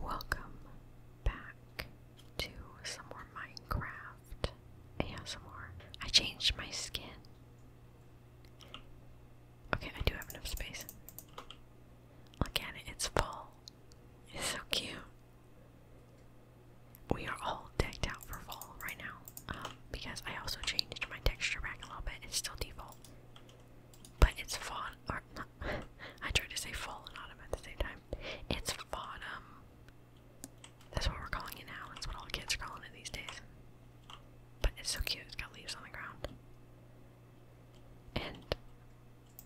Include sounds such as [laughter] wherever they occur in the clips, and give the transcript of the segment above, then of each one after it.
Welcome back to some more Minecraft ASMR. I changed my skin. Okay, I do have enough space. Look at it, it's full. It's so cute. We are all decked out for fall right now um, because I also changed my texture back a little bit. It's still default, but it's fall. [laughs] I tried to say fall and autumn at the same time. It's autumn. That's what we're calling it now. That's what all the kids are calling it these days. But it's so cute. It's got leaves on the ground. And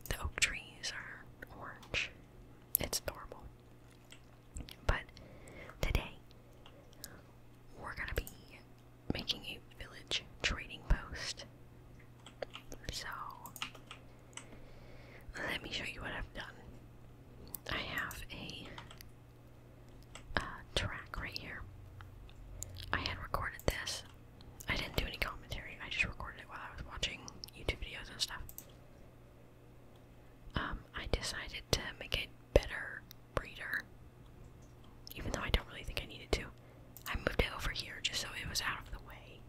the oak trees are orange. It's adorable. But today, we're gonna be making a village trading post so, let me show you what I've done. I have a track right here. I had recorded this. I didn't do any commentary, I just recorded it while I was watching YouTube videos and stuff. Um, I decided to make it better breeder, even though I don't really think I needed to. I moved it over here just so it was out of the way.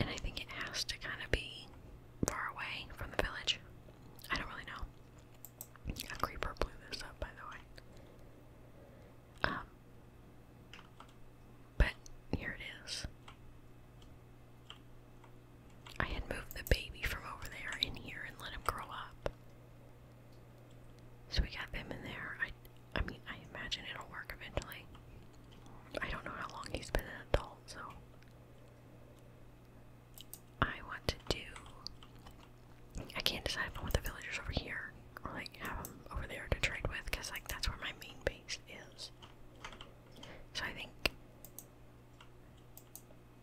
And I think it has to kind of be far away from the village. I don't really know. creeper blew this up, by the way. Um, but here it is. I had moved the baby from over there in here and let him grow up. So we got them in there. I mean, I imagine it'll work eventually. I don't know how long he's been an adult, so. I want to do. I can't decide if I want the villagers over here or like have them over there to trade with because like that's where my main base is. So I think.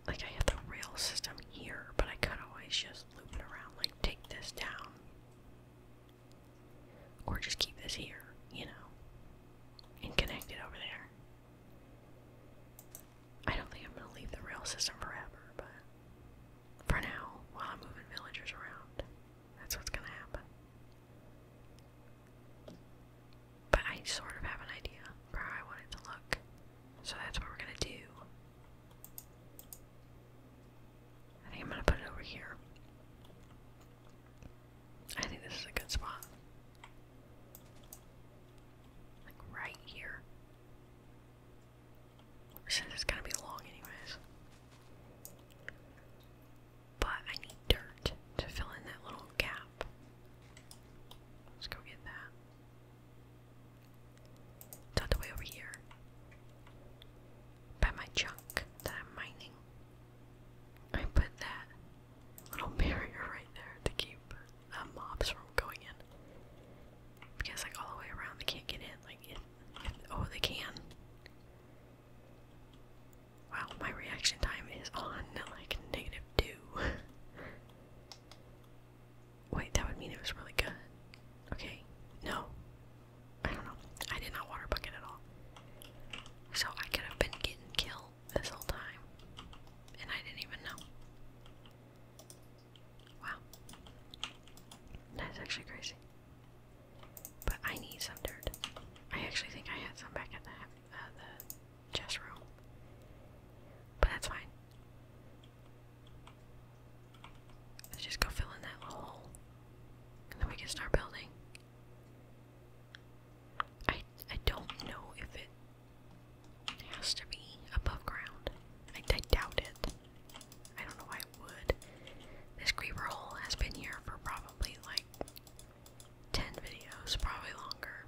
Like I have the rail system here, but I could always just loop it around, like take this down. Or just keep this here, you know, and connect it over there. I don't think I'm gonna leave the rail system forever, but for now, while I'm moving villagers around, that's what's gonna happen. But I sort of have an idea for how I want it to look, so that's what we're gonna do. I think I'm gonna put it over here. I think this is a good spot. Like right here. Since it's gonna be long anyways. But I need dirt to fill in that little gap. Let's go get that. Tucked away over here by my junk that I'm mining. I put that little [laughs] barrier right there to keep mobs from going in. Because, like, all the way around, they can't get in. Like, oh, they can. Wow, my reaction time is on, [laughs] like, negative two. [laughs] Wait, that would mean it was really good. Okay, no. I don't know. I did not water bucket at all. So I could have been getting killed this whole time. And I didn't even know. Wow. That's actually crazy. But I need some dirt. I actually think I had some back in the, uh, the chest room. But that's fine. Let's just go fill in that little hole. And then we can start building. I I don't know if it has to be above ground. I, I doubt it. I don't know why it would. This creeper hole has been here for probably like 10 videos, probably longer.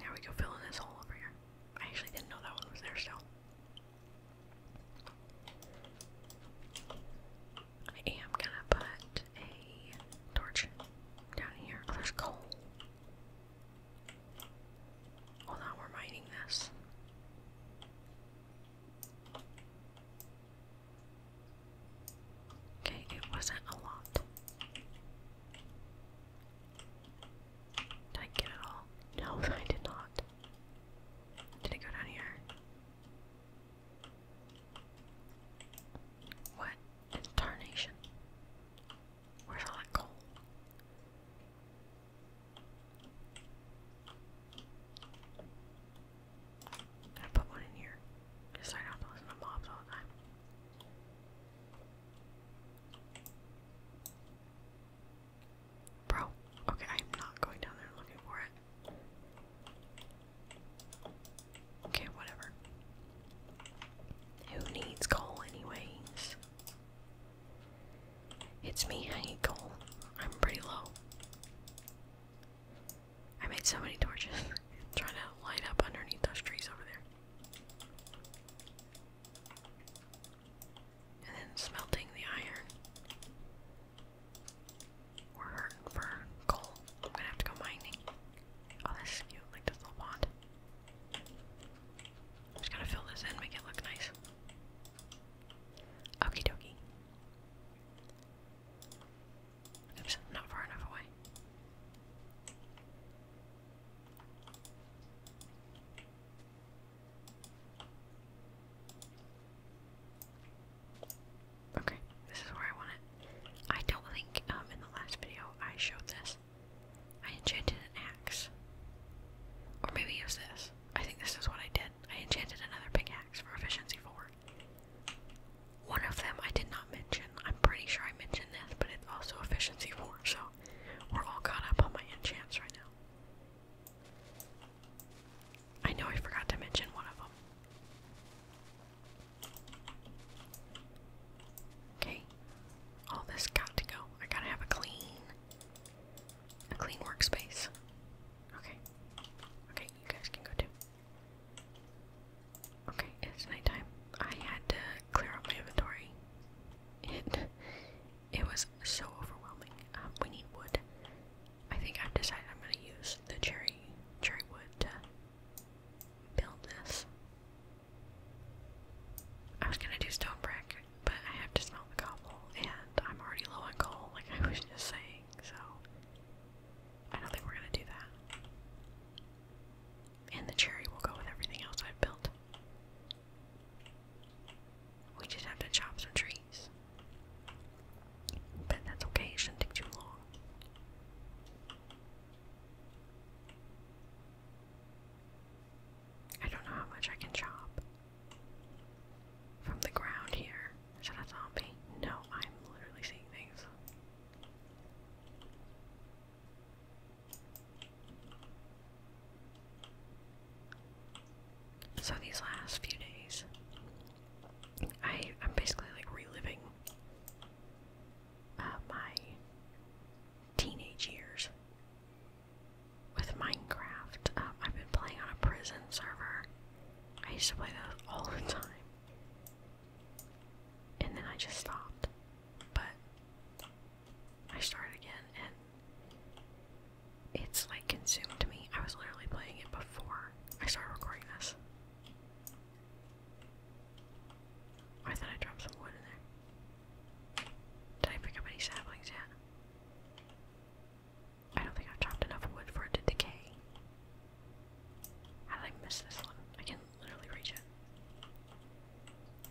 Now we go fill in this hole over here. I actually didn't know that one was there still. I am gonna put a torch down here. Oh, there's coal. Hold on, we're mining this. Okay, it wasn't a lot. Did I get it all? No, [laughs] I did not. Did it go down here? What? tarnation. Where's all that coal? I put one in here. Just I have to listen to mobs all the time. Bro, okay, I'm not going down there looking for it. Okay, whatever. Who needs coal, anyways? It's me, I need coal. I'm pretty low. I made so many torches [laughs] trying to light up underneath those trees over there. And then smelting the iron. We're hurting for coal. I'm gonna have to go mining. Oh, this like this little pond. just gonna fill this in, make it look nice. Okie dokie. Oops, not far enough away. Okay, this is where I want it. I don't think um, in the last video I showed this. I enchanted an axe. Or maybe it was this. I think this is what I did. I enchanted another pickaxe for efficiency 4. One of them I did not not mention. I'm pretty sure I mentioned this, but it's also efficiency 4, so we're all caught up on my enchants right now. I know I forgot to mention one of them. Okay. All this got to go. I gotta have a clean a clean workspace. Okay. Okay, you guys can go too. Okay, it's nighttime. I had to clear out my inventory. It [laughs] it was so overwhelming. Um, we need wood. I think I've decided I'm gonna use the cherry cherry wood to build this. I was gonna do stone brick, but I have to smelt the cobble, and I'm already low on coal, like I was just saying. So I don't think we're gonna do that. And the cherry will go with everything else I've built. We just have to chop some trees. But that's okay, it shouldn't take too long. I don't know how much I can chop from the ground here. Is that a zombie? No, I'm literally seeing things. So these last few days, I I'm basically like reliving uh, my teenage years with Minecraft. Um, I've been playing on a prison server. I used to play those all the time, and then I just stopped but I started again and it's like consumed me. I was literally playing it before I started recording this. I thought I dropped some wood in there. Did I pick up any saplings yet? I don't think I've chopped enough wood for it to decay. How did I miss this one? I literally reach it.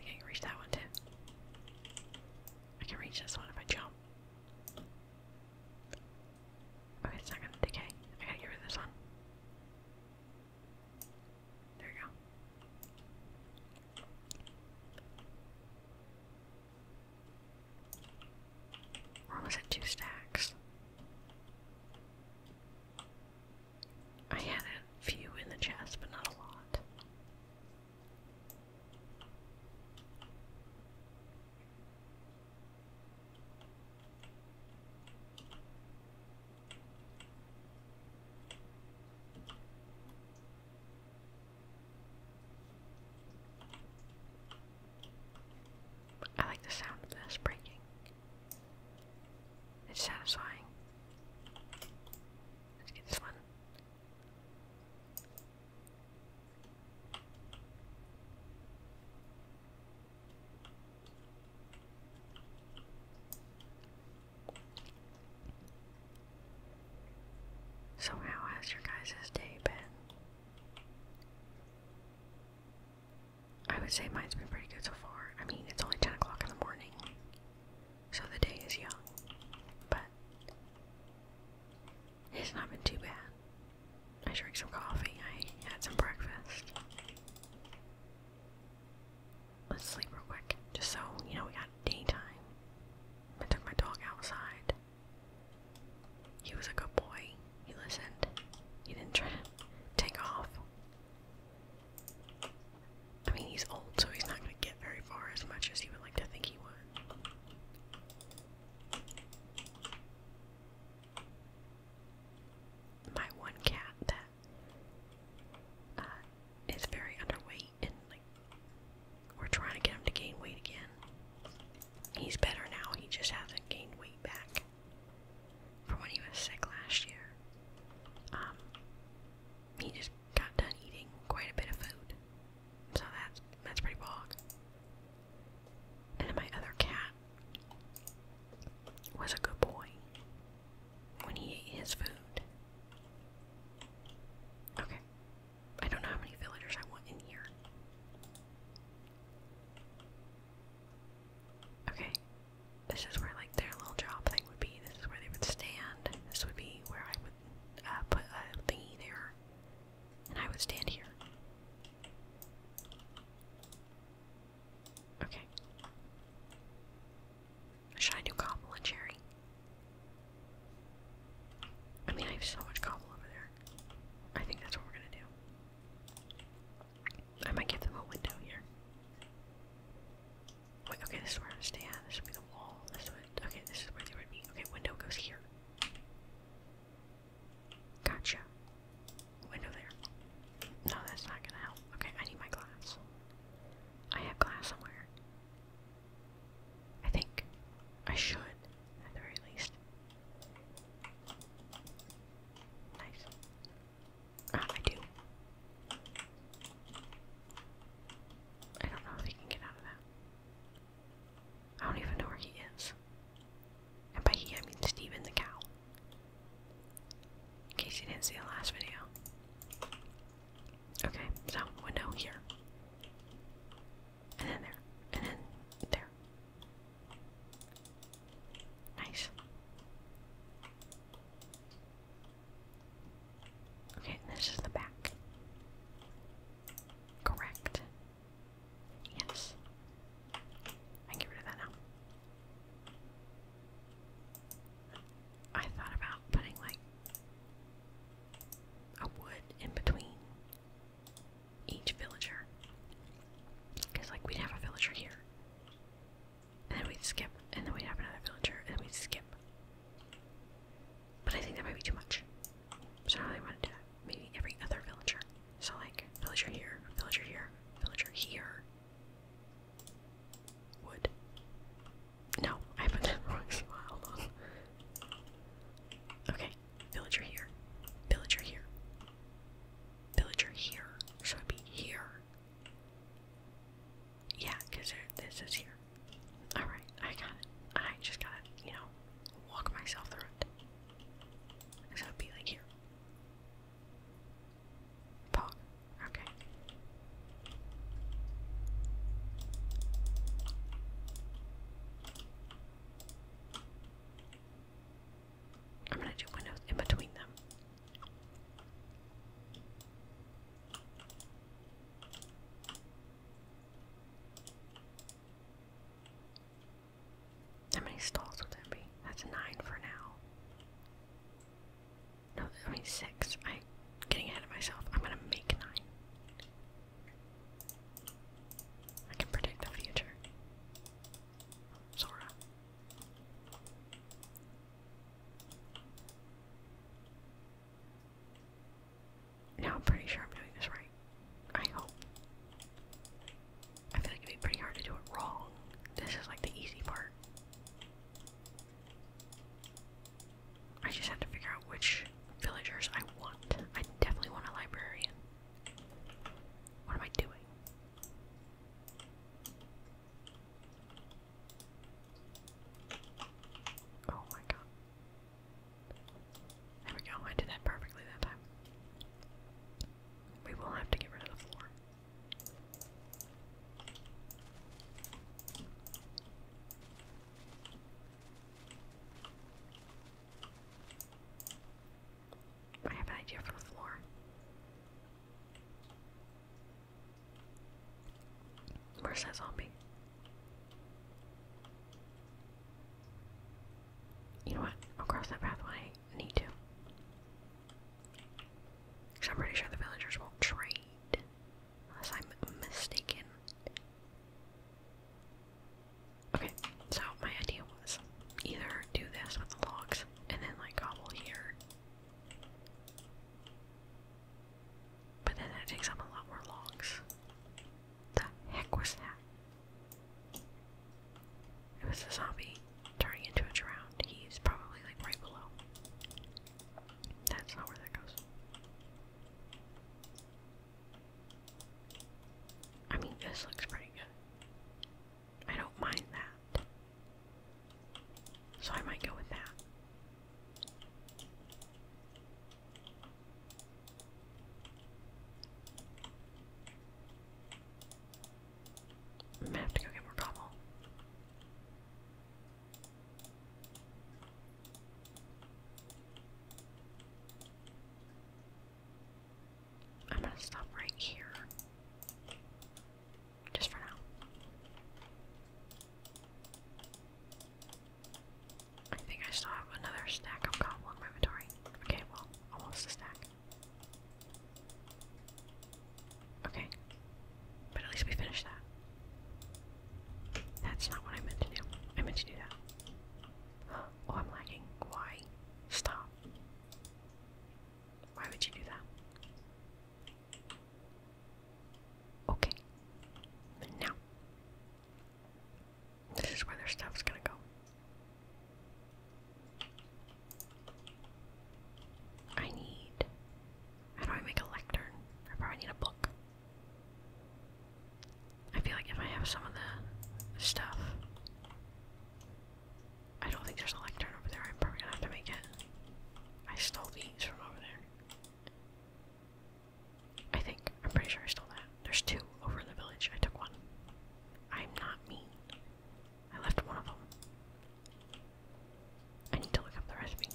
I can reach that one too. I can reach this one if I jump. Okay, it's decay. I got this one. There you go. We're almost at two stacks. I had a few in the chest, but not a lot. I like the sound of this breaking. It's satisfying. Let's get this one. So how has your guys' day been? I would say mine's been pretty good so far. I mean, it's only 10 o'clock in the morning. So the day is young, but it's not been too bad. I drank some coffee, I had some breakfast. Let's sleep real quick, just so, you know, we got daytime. I took my dog outside. He was a good boy. He listened. He didn't try to take off. I mean, he's old, so he's not going to get very far as much as he would like to think he would. My one cat that uh, very underweight, and like we're trying to get him to gain weight again. He's better now. He just hasn't gained weight back from when he was sick last year. Um, he just got done eating quite a bit of food. So that's that's pretty bog. And my other cat was a good boy when he ate his food. Okay. I don't know how many villagers I want in here. Okay, this is where like their little job thing would be. This is where they would stand. This would be where I would uh, put a thingy there, and I would stand here. Okay. Should I do cobble and cherry? I mean, I have so much cobble over there. I think that's what we're gonna do. I might give them a window here okay, this is where I'm gonna stay at. This would be the wall. This would okay, this is where they would be. Okay, window goes here. Gotcha. Window there. No, that's not gonna help. Okay, I need my glass. I have glass somewhere. I think I should, at the very least. Nice. Ah, I do. I don't know if he can get out of that. I don't even know where he is. And by he, I mean Steven the cow. In case you didn't see the last video. Okay, so window here. And then there. And then there. Nice. Okay, this is the back. Correct. Yes. I get rid of that now. I thought about putting like a wood in between each villager. Because, like, we'd have a villager here, and then we'd skip, and then we'd have another villager, and then we'd skip. But I think that might be too much. So I really want to do that. Maybe every other villager. So like villager here, villager here, villager here. Wood. No, I put that [laughs] wrong Hold on. Okay, villager here, villager here, villager here. So it be here, yeah, because this is here. Alright, I got it. I just gotta, you know, walk myself through it. would be like here. Pog. Okay. I'm gonna do windows in between them. How many stalls would there be? That's nine for now. No, I mean six. I'm getting ahead of myself. I'm gonna make nine. I can predict the future. Sora. Now I'm pretty sure I'm doing this right. I hope. I feel like it'd be pretty hard to do it wrong. This is like the easy part. I just have to figure out which villagers I want. I definitely want a librarian. What am I doing? Oh my god. There we go, I did that perfectly that time. We will have to get rid of the floor. I have an idea for the floor. Where's that zombie? You know what? I'll cross that path when I need to. Because I'm pretty sure the villagers won't trade. Unless I'm mistaken. Okay, so my idea was either do this with the logs and then like gobble here. But then that takes up a lot more logs. The heck was that? It was a zombie turning into a drowned. He's probably like right below. That's not where that goes. I mean, this looks pretty good. I don't mind that. So I might go with that. I'm gonna have to go get more cobble. I'm gonna stop right here. Just for now. I think I still have another stack of cobble inventory. Okay, well, almost a stack. Okay. But at least we finished that. That's not what I meant to do. I meant to do that. [gasps] Oh, I'm lagging. Why? Stop. Why would you do that? Okay. Now, this is where their stuff's gonna go. I need. How do I make a lectern? I probably need a book. I feel like if I have some of the stuff. I don't think there's a lectern over there. I'm probably gonna have to make it. I stole these from over there. I think. I'm pretty sure I stole that. There's two over in the village. I took one. I'm not mean. I left one of them. I need to look up the recipe.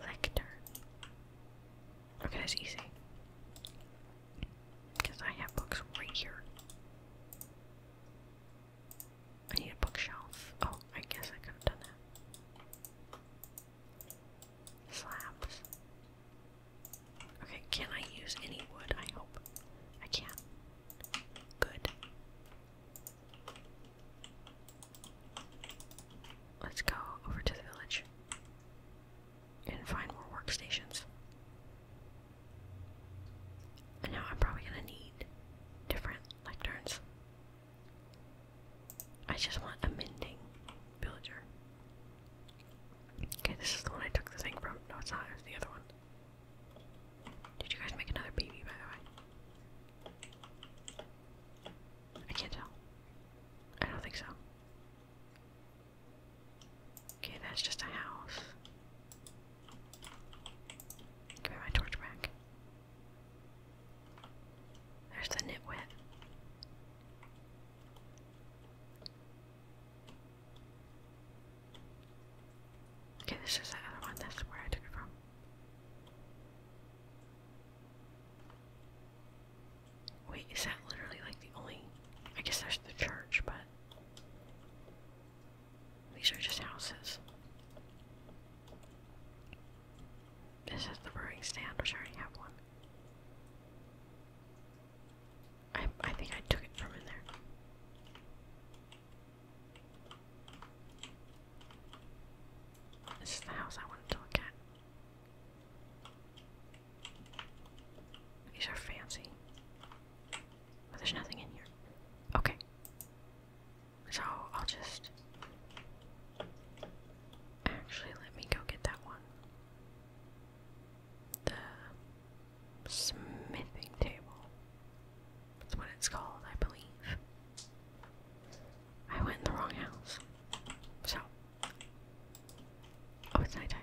Lectern. Okay, that's easy. Because I have books right here. I need a bookshelf. Oh, I guess I could have done that. Slabs. Okay, can I use any wood? I hope. I can. Good. Let's go over to the village and find more workstations. And now I'm probably gonna need different lecterns. I just want a mending villager. Okay, this is the one I took the thing from. No, it's not. It's the other one. Did you guys make another baby, by the way? I can't tell. I don't think so. Okay, that's just a house. Give me my torch back. There's the nitwit. Okay, this is the one. That's where I took it from. Wait, is that literally like the only? I guess there's the church, but these are just houses. This is the brewing stand, which I already have one. I I think I took it from in there. This is the house I wanted to look at. These are fancy. But oh, there's nothing in here. Okay. So I'll just actually let me go get that one. The smithing table. That's what it's called, I believe. I went the wrong house. So Oh, it's nighttime.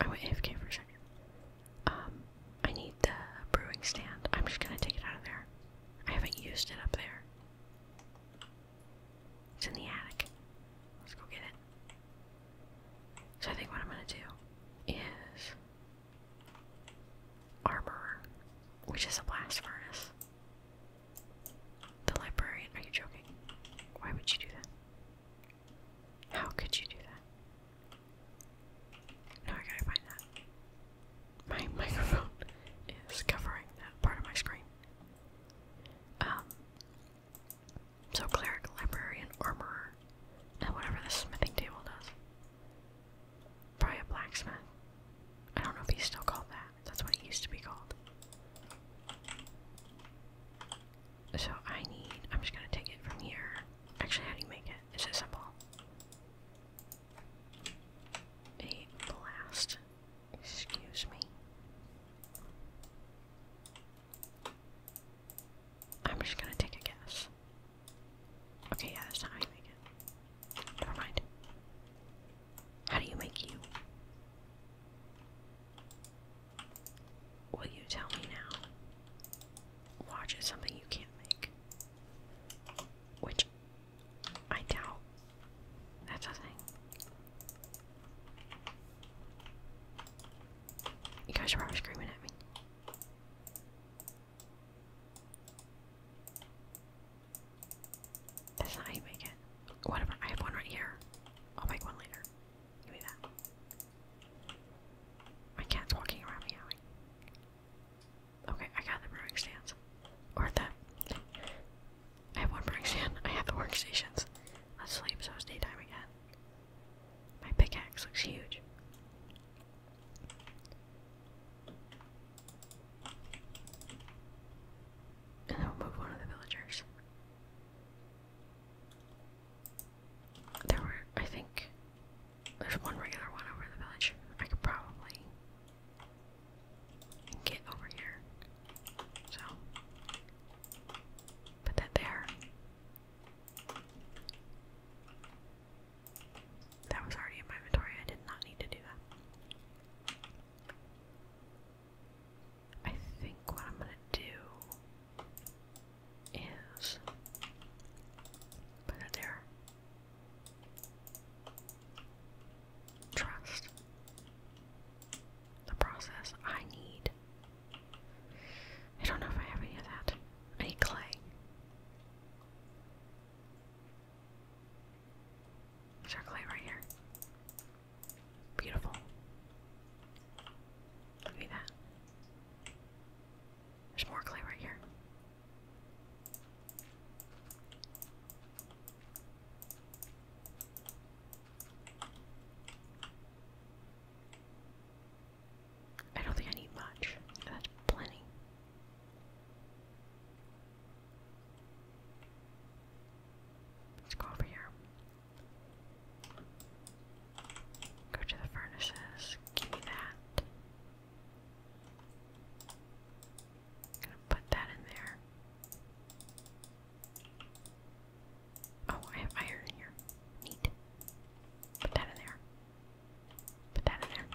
I went AFK for a second. Um I need the brewing stand. I'm just gonna take it out of there. I haven't used it up there. It's in the attic. Let's go get it. So I think what I'm gonna do is armorer, which is a blast furnace. The librarian, are you joking? Why would you do that? How could you do that? Now I gotta find that my [laughs] microphone is covering that part of my screen. Um, so cleric, librarian, armorer, and whatever the smithing table does. Probably a blacksmith. I don't know if he's still called that. That's what it used to be called. So I need. I'm just gonna take it from here. Actually, how do you make it? it? Is it simple? a blast. Excuse me. I'm just gonna take a guess. Okay, yeah, that's not how you make it. Never mind. How do you make you? Will you tell me now? Watch is something you can't make. Which I doubt that's a thing. You guys are always screaming at me. That's how you make it. Whatever, I have one right here. I'll make one later. Give that. My cat's walking around meowing. Okay, I got the brewing stands. Or I have one brewing stand. I have the workstations. Let's sleep so it's daytime again. My pickaxe looks huge. And then we'll move one of the villagers. There were, I think, there's one regular one over in the village. I could probably get over here. So, put that there. That was already in my inventory. I did not need to do that. I think what I'm gonna do is put it there. Trust the process I need. I don't know if I have any of that. I need clay. Is clay right here? Beautiful. Give me that. There's more clay right here. I don't think I need much. That's plenty. Let's go over here. Go to the furnaces. Give me that. Gonna put that in there. Oh, I have iron here. Neat. Put that in there. Put that in there.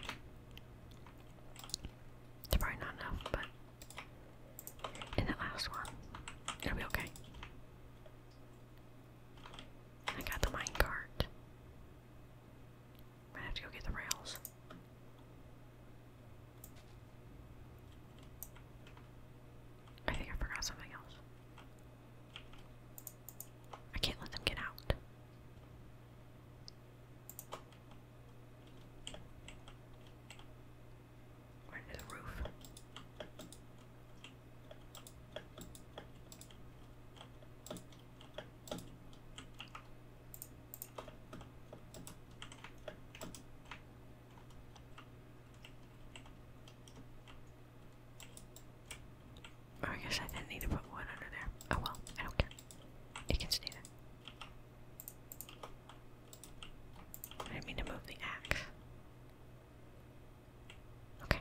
It's probably not enough, but in that last one, it'll be okay. I got the minecart. I have to go get the rails. I think I forgot something else. I can't let them get out. under the roof. I guess I didn't need to put one under there. Oh well, I don't care. It can stay there. I mean to move the axe. Okay.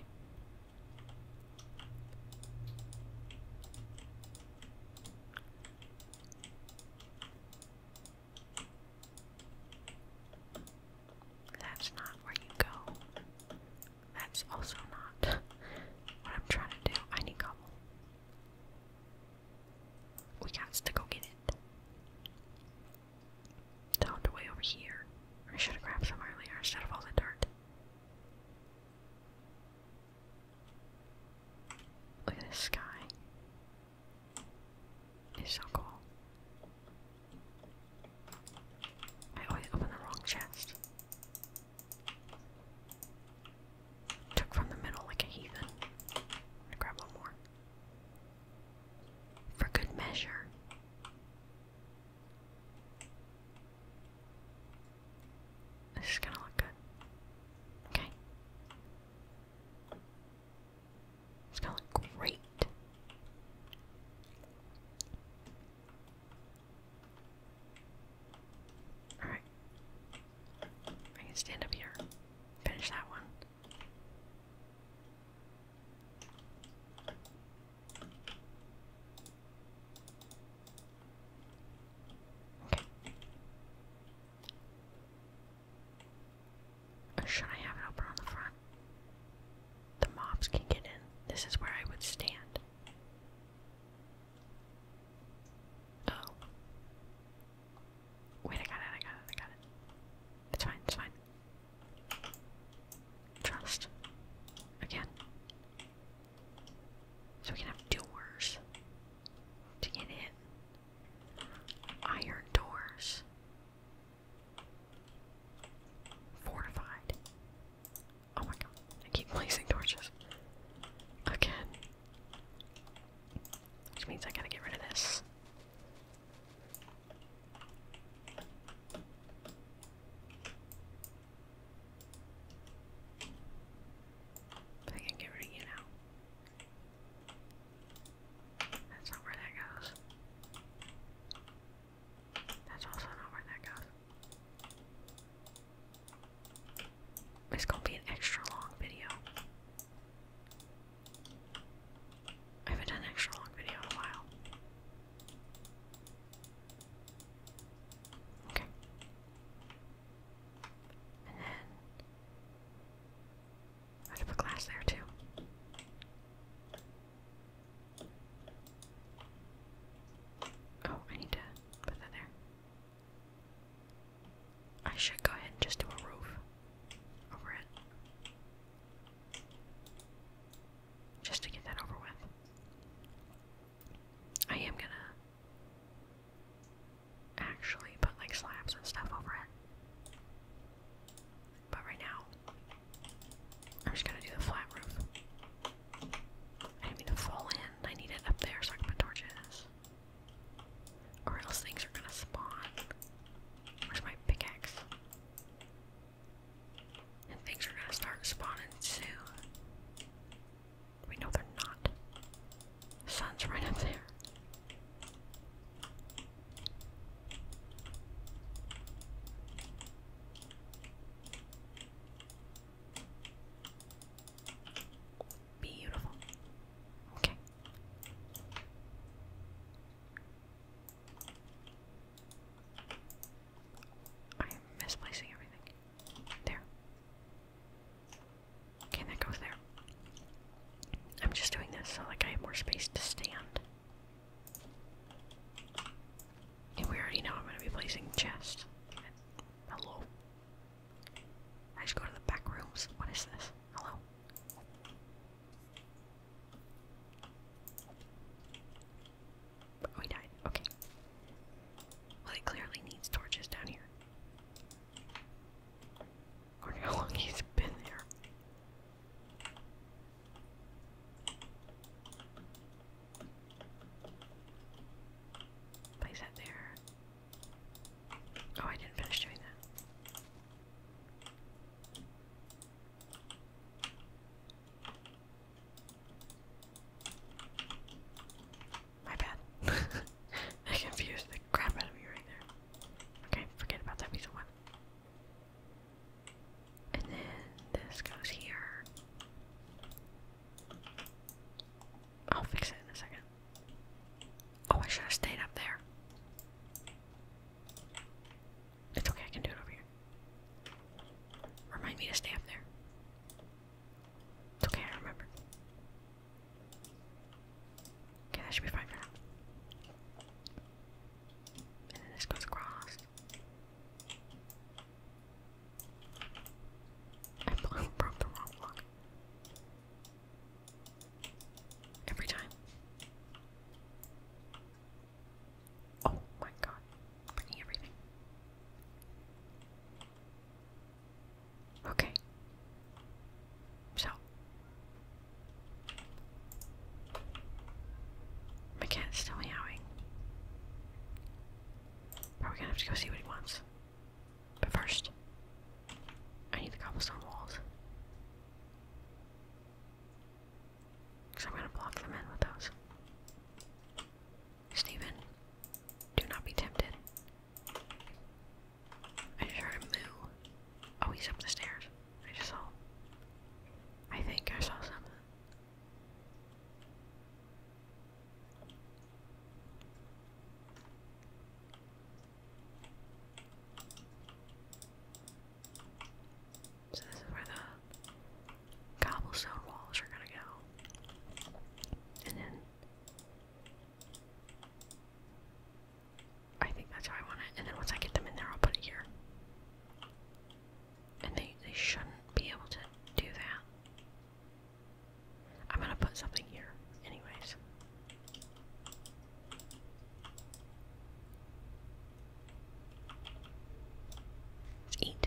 That's not where you go. That's also not what I'm trying to do. I need cobble. We got to go get it. It's all the way over here. I should have grabbed some earlier instead of all the dirt. Look at the sky. It's so cool. I always open the wrong chest. Took from the middle like a heathen. gonna grab one more. For good measure. This is gonna look good. Okay. It's gonna look great. Alright. I can stand up here. Finish that one should I have it open on the front? The mobs can get in. This is where I would stand. Oh. Wait, I got it, I got it, I got it. It's fine, it's fine. Trust. Again. So we can have doors to get in. Iron doors. Fortified. Oh my god, I keep placing torches. Again. Which means I gotta get rid of this. I can get rid of you now. That's not where that goes. That's also not where that goes. It's gonna be an extra long video. I haven't done an extra long video in a while. Okay. And then I'd have a glass there too. Oh, I need to put that there. I should go ahead and just do a roof over it. Just to get that over with. I am gonna actually put like slabs and stuff over it. But right now, I'm just gonna do the flat roof. I need not to fall in. I need it up there so I can put torches. Or else things are gonna spawn. Where's my pickaxe? And things are gonna start spawning soon. We know they're not. The sun's right up there. Beautiful. Okay. I am misplacing everything. There. Okay, that goes there. I'm just doing this so like I have more space to stand. And we already know I'm gonna be placing chests. Hello. I just go to the back rooms. What is this? Hello. But oh, we died. Okay. Well, it clearly needs torches down here how long he's been there. Place that there. Oh, I didn't finish doing that. My bad. [laughs] I confused the crap out of you right there. Okay, forget about that piece of one. And then this goes here. I'll fix it in a second. Oh, I should have stayed up there. It's okay, I can do it over here. Remind me to stay up there. It's okay, I remember. Okay, that should be fine for now. And then this goes across. I broke the wrong block. Every time. Oh my god. Breaking everything. Okay. So. My cat's still meowing. Probably gonna have to go see what he wants. But first, I need the cobblestone walls. Because I'm gonna block them in with those. Stephen, do not be tempted. I heard him moo. Oh, he's up the stairs. I just saw. I think I saw something. So this is where the cobblestone walls are gonna go. And then I think that's how I want it. And then once I get them in there, I'll put it here. And they, they shouldn't be able to do that. I'm gonna put something here, anyways. eat.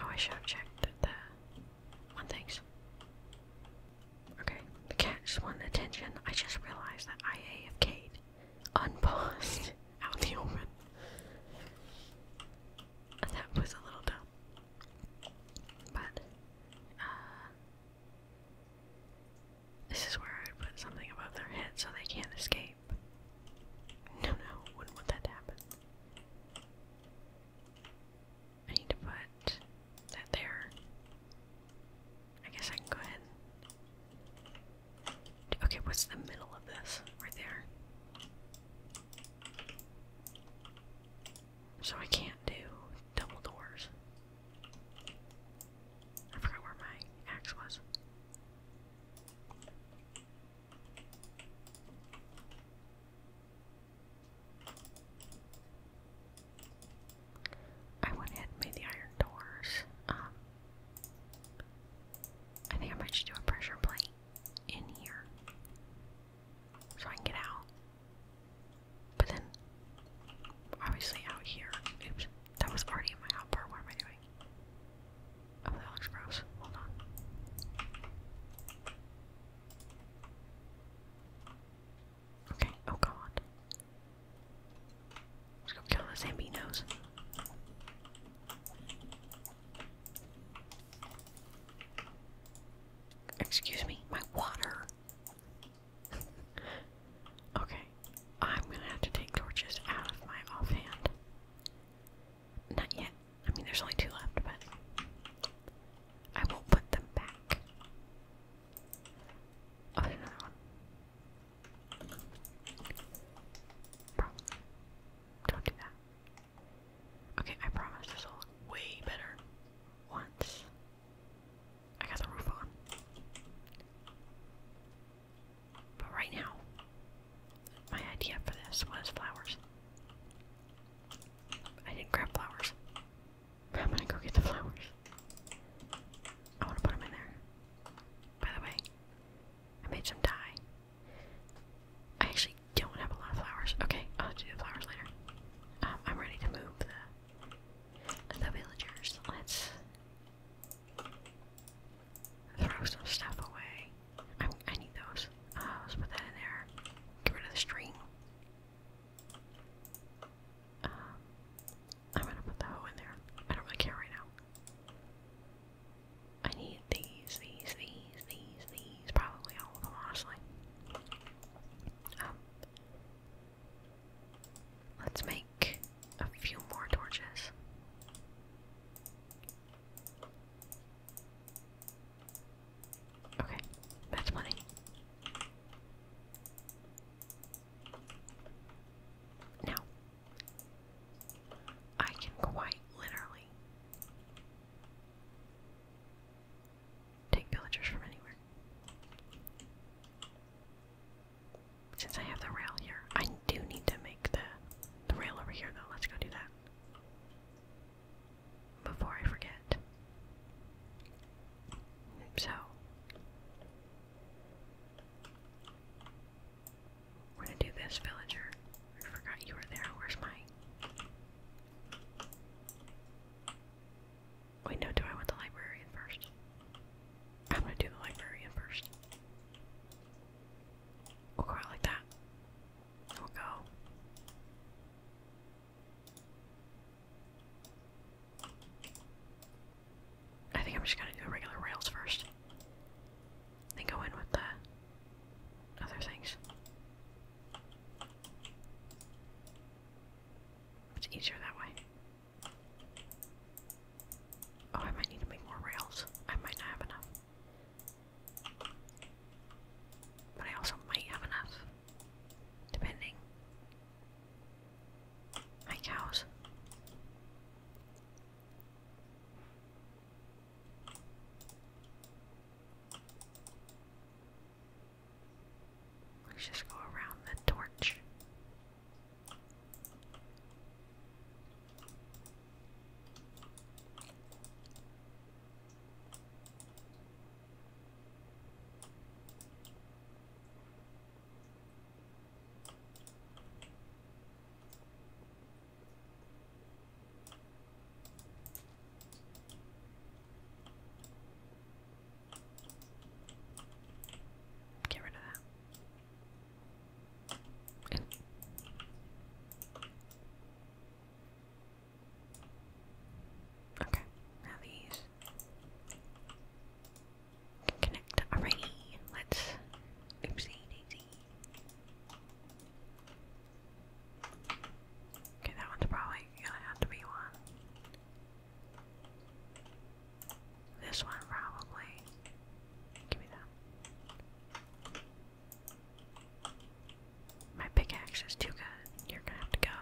Oh, I should have checked that the one thing's. Okay, the cat just wanted attention. I just realized that I AFK'd unpaused [laughs] out in the open. That was a little dumb. But, uh, this is where I would put something above their head so they can't escape. No, no, wouldn't want that to happen. I need to put that there. I guess I can go ahead. Okay, what's the middle of this? Right there. So I can't do double doors. I forgot where my axe was. I went ahead and made the iron doors. Um, I think I might just do a pressure plate in here so I can get out. But then, obviously, out here. Oops, that was already my hotbar. What am I doing? Oh, that looks gross. Hold on. Okay, oh god. Let's go kill the Zambinos. Excuse me, my water. [laughs] okay, I'm gonna have to take torches out of my offhand. Not yet. I mean, there's only two left, but I won't put them back. Oh, there's Don't do that. Okay, I promise this will way better once I got the roof on. But right now, my idea for this was flowers. I didn't grab flowers. I'm gonna go get the flowers. I wanna put them in there. By the way, I made some dye. I actually don't have a lot of flowers. Okay, I'll do the flowers later. Um, I'm ready to move the the villagers. Let's Throw some stuff away. I, need those. Uh, let's put that in there. Get rid of the string. Um, I'm gonna put the hoe in there. I don't really care right now. I need these, these, these, these, these. Probably all of them, honestly. Um, let's make a few more torches. Okay, that's money. Now, I can quite literally take villagers from anywhere. Since I have the rail here, I do need to the the rail over here though. Let's go do that. Before I forget. So we're gonna do this villager. I forgot you were there. Where's my Wait, no, do I want the librarian first? I'm gonna do the librarian first. We'll go like that. We'll go. I think I'm just gonna do regular rails first. Then go in with the other things. It's easier that way. Oh, I might need to make more rails. I might not have enough. But I also might have enough. Depending. My cows. Let's just go around the torch. Get rid of that. And okay, now these can connect Let's oopsie daisy. Okay, that one's probably gonna have to be one. This one probably. Give me that. My pickaxe is too good. You're gonna have to go.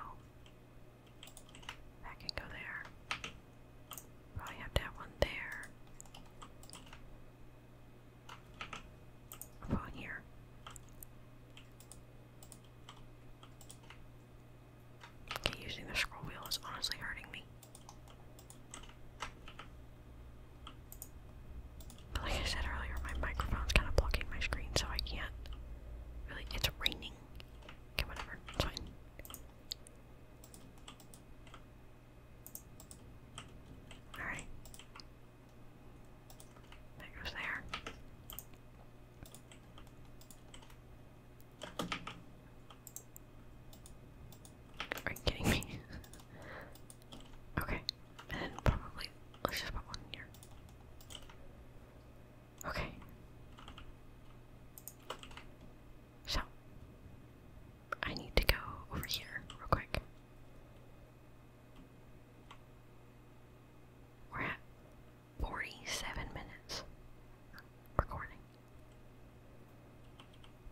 That can go there. Probably have to have one there. i here. Okay, using the scroll wheel is honestly hurting me. Like I said earlier, my microphone's kind of blocking my screen, so I can't really. It's raining. Okay, whatever. fine. Alright. That goes there. Are you kidding me? [laughs] Okay, and probably let's just put one here. Okay. So I need to go over here real quick. We're at 47 minutes recording.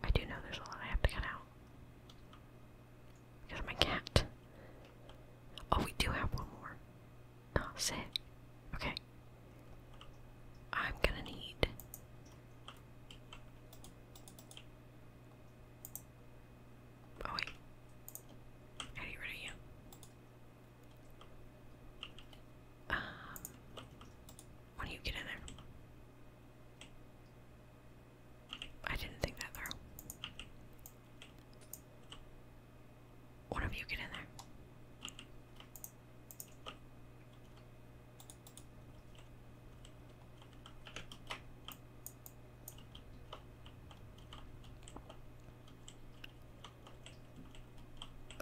I do know there's a lot I have to cut out. Got my cat. Oh, we do have one more. Oh, sick. Okay. I'm gonna need. Oh wait. get rid of you. Um, when do you get in there? I didn't think that through. One of you get in there.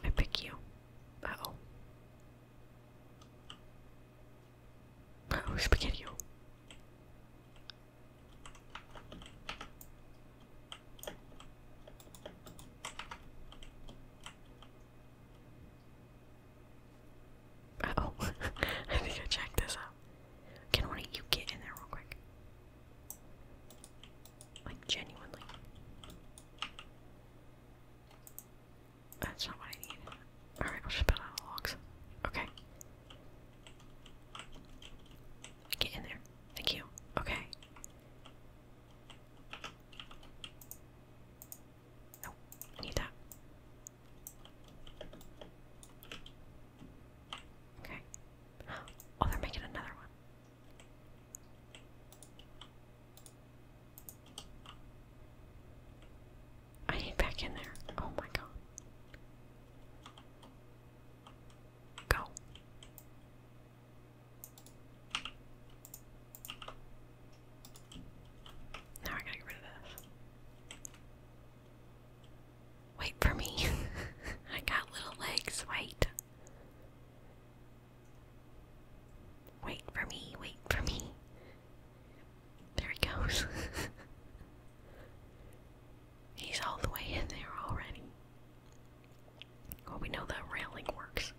I pick you. oh. Oh, spaghetti. oh, [laughs] I think I checked this out. Can one of you get in there real quick? Like, genuinely. That's not what I need. Alright, we'll just build out the logs. Okay. Get in there. Thank you. Okay. Nope, I need that. Okay. Oh, they're making another one. I need back in there. Oh my god. Go. Now I gotta get rid of this. Wait for me. [laughs] I got little legs. Wait. Wait for me. Wait for me. There he goes. [laughs] He's all the way in there already. Well, we know that railing works.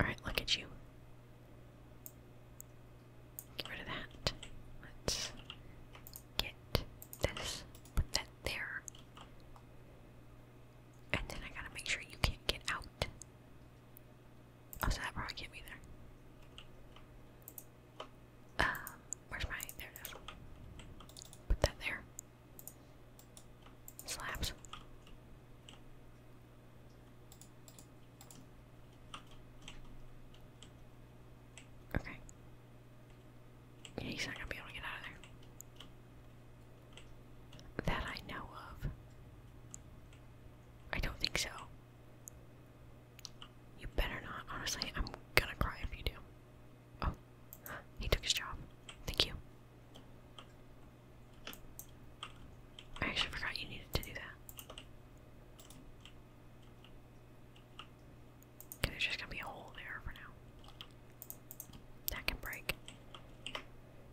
Alright, look at you. Get rid of that. Let's get this. Put that there. And then I gotta make sure you can't get out. Oh, so that probably can't be there. Um, where's my, there it is. Put that there. Slabs. Okay. Yeah, he's not gonna be able to get out of there that I know of. I don't think so. You better not. Honestly, I'm gonna cry if you do. Oh, he took his job. Thank you. I actually forgot you needed to do that. there's just gonna be a hole there for now. That can break.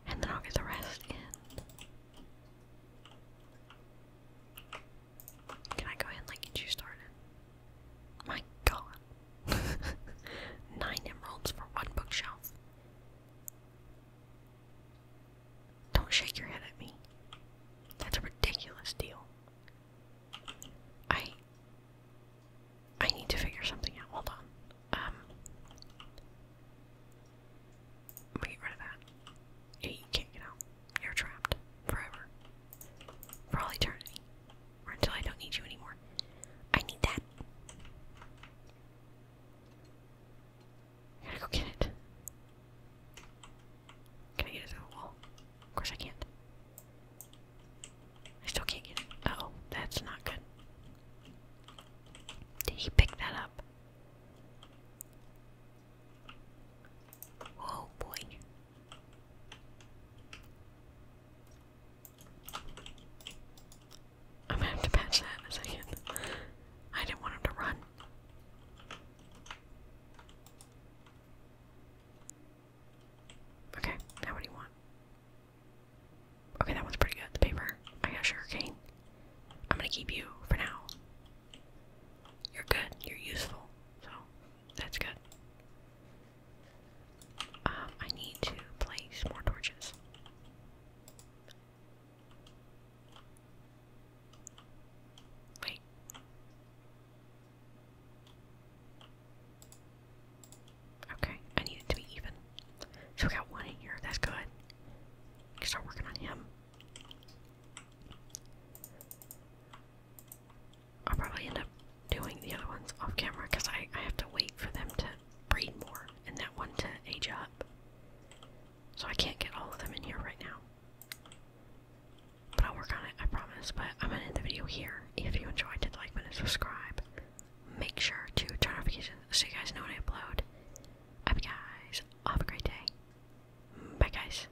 And then I'll get the rest in. Can I go ahead and like get you started? My god. [laughs] Nine emeralds for one bookshelf. Don't shake your head at me. That's a ridiculous deal. I I need to figure something out. Hold on. Um I'm going get rid of that. you can't get out. You're trapped. Forever. For all eternity. Or until I don't need you anymore. I need that. I gotta go get it. Can I get it through the wall? Of course I can't. I still can't get it. oh, that's not good. Did he pick that up? Oh boy. I'm gonna have to patch that in a second. I didn't want him to run. Okay, now what do you want? Okay, that one's pretty good. The paper. I got sugar cane. I'm gonna keep you for now. You're good. You're useful. So, that's good. Um, I need to place more torches. Wait. Okay, I need it to be even. So we got one in here. That's good. We start working on him. I'll probably end up doing the other ones off camera because I, I have to wait for them to breed more and that one to age up. So I can't get all of them in here right now. But I'll work on it, I promise. But I'm gonna end the video here. If you enjoyed it, like, and subscribe. Make sure to turn notifications so you guys know when I upload. I guys have a great day. Bye, guys.